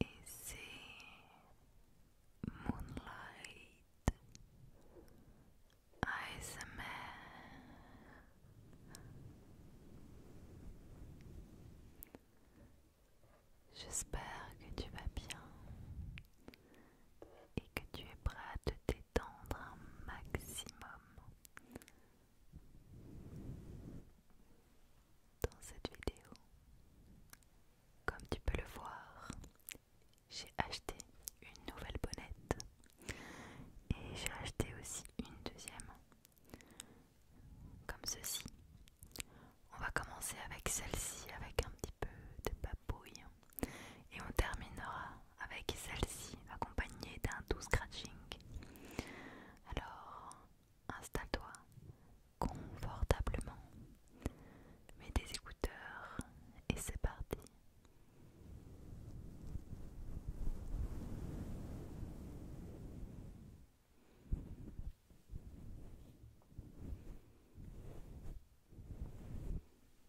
Et c'est Moonlight J'espère que tu vas bien et que tu es prêt à te détendre un maximum. Dans cette vidéo, comme tu peux le voir, j'ai acheté une nouvelle bonnette et j'ai acheté aussi une deuxième, comme ceci. On va commencer avec celle-ci, avec un petit peu de papouille, hein, et on terminera avec celle-ci accompagnée d'un doux scratching. Alors, installe-toi confortablement, mets tes écouteurs et c'est parti.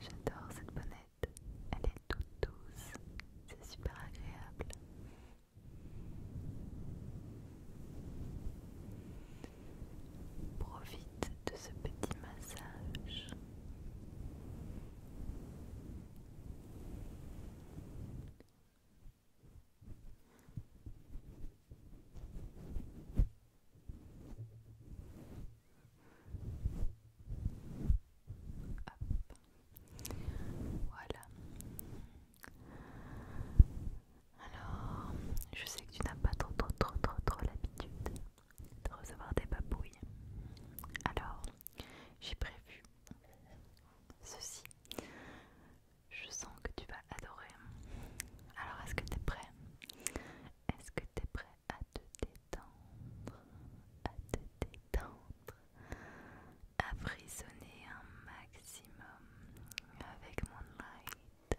J'adore cette bonnette, elle est toute douce, c'est super agréable. Profite de ce petit massage. Voilà. Alors, je sais que tu n'as pas trop trop trop trop trop l'habitude de recevoir des babouilles Alors, j'ai prévu ceci je sens que tu vas adorer. Alors, est-ce que tu es prêt Est-ce que tu es prêt à te détendre À te détendre À frissonner un maximum avec mon light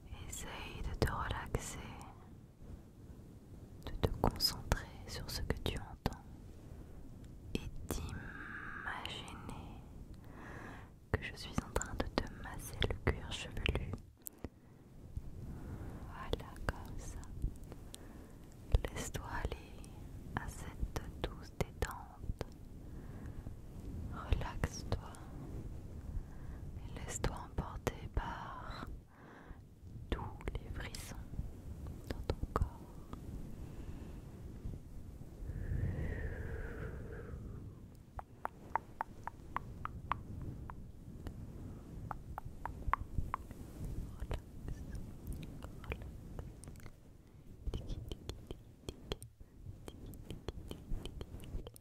Essaye de te relaxer, de te concentrer sur ce que tu entends et d'imaginer que je suis en train de te masser le cuir chevelu. Voilà, comme ça. Laisse-toi aller à cette douce détente. Relaxe-toi et laisse-toi emporter par tous les frissons dans ton corps.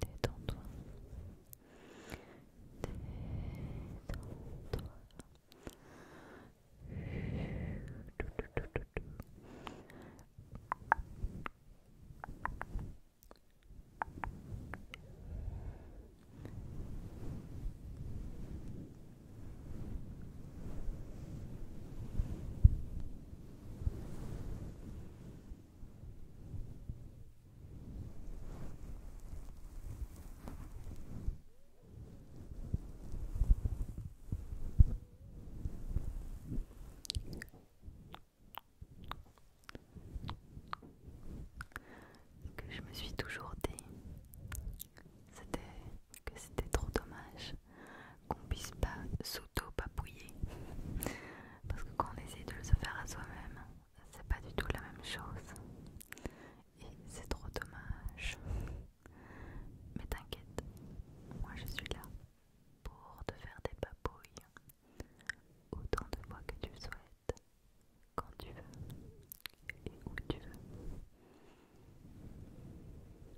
Détends-toi. toi que je me suis toujours dit, c'était que c'était trop dommage qu'on puisse pas s'auto-papouiller. Parce que quand on essaie de le se faire à soi-même, c'est pas du tout la même chose. Et c'est trop dommage. Mais t'inquiète, moi je suis là pour te faire des papouilles autant de fois que tu le souhaites, quand tu veux et où tu veux.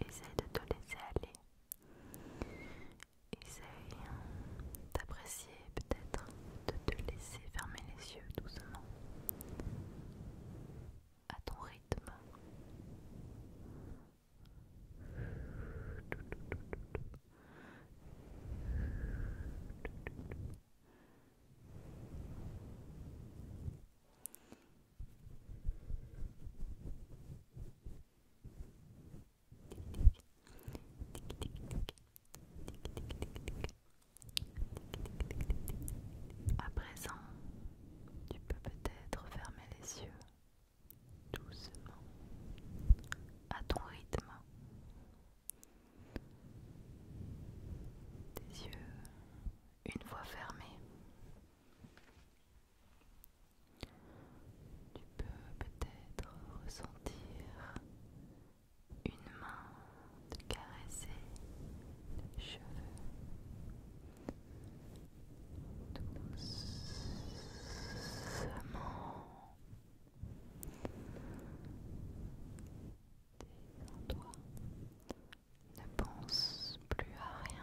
Essaye de te laisser aller. Essaye hein, d'apprécier peut-être de te laisser fermer les yeux doucement à ton rythme. À présent, tu peux peut-être fermer les yeux doucement à ton rythme. Tes yeux une voix fermée. Tu peux peut-être ressentir une main te caresser les cheveux doucement toi ne pense plus à rien.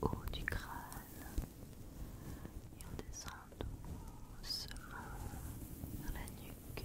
dans le haut du crâne et on descend doucement vers la nuque.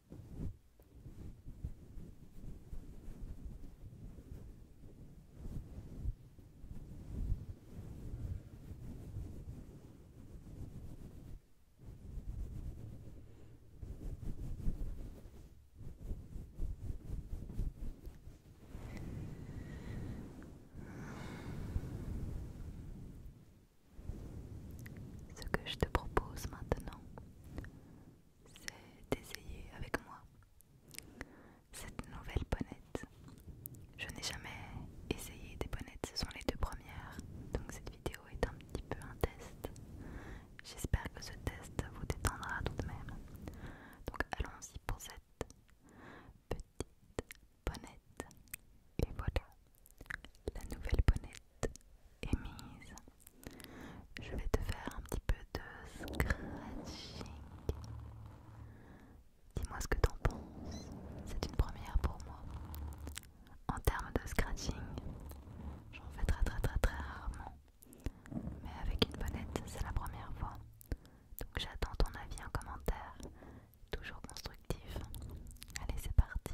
Ce que je te propose maintenant, c'est d'essayer avec moi cette nouvelle bonnette. Je n'ai jamais essayé des bonnettes, ce sont les deux premières, donc cette vidéo est un petit peu un test. J'espère que ce test vous détendra tout de même. Donc allons-y pour cette petite bonnette. Et voilà, la nouvelle bonnette émise. Je vais te faire un petit peu de scratching. Dis-moi ce que t'en penses. C'est une première pour moi. En termes de scratching, j'en fais très très très très rarement. Mais avec une bonnette, c'est la première fois. Donc j'attends ton avis en commentaire. Toujours constructif. Allez, c'est parti.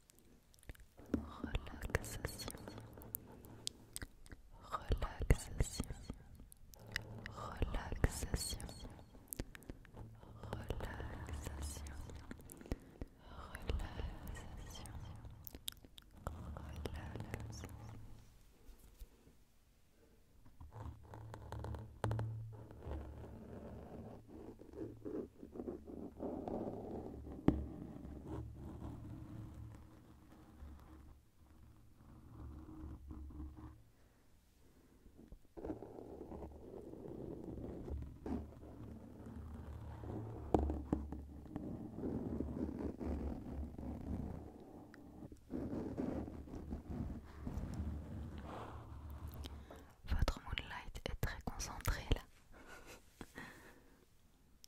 relaxation, relaxation, relaxation, relaxation, relaxation, votre moonlight est très concentré là.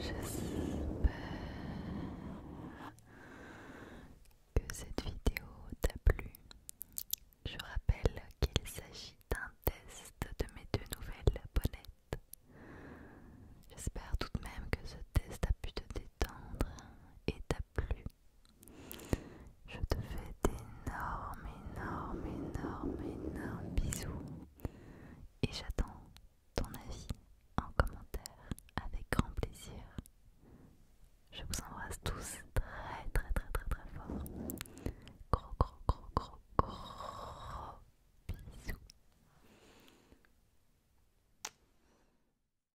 J'espère que cette vidéo t'a plu. Je rappelle qu'il s'agit d'un test de mes deux nouvelles bonnettes. J'espère tout de même que ce test a pu te détendre et t'a plu. Je te fais d'énormes, énormes, énormes, énormes bisous et j'attends ton avis en commentaire avec grand plaisir. Je vous embrasse tous très très très très très fort. Gros gros gros gros gros bisous.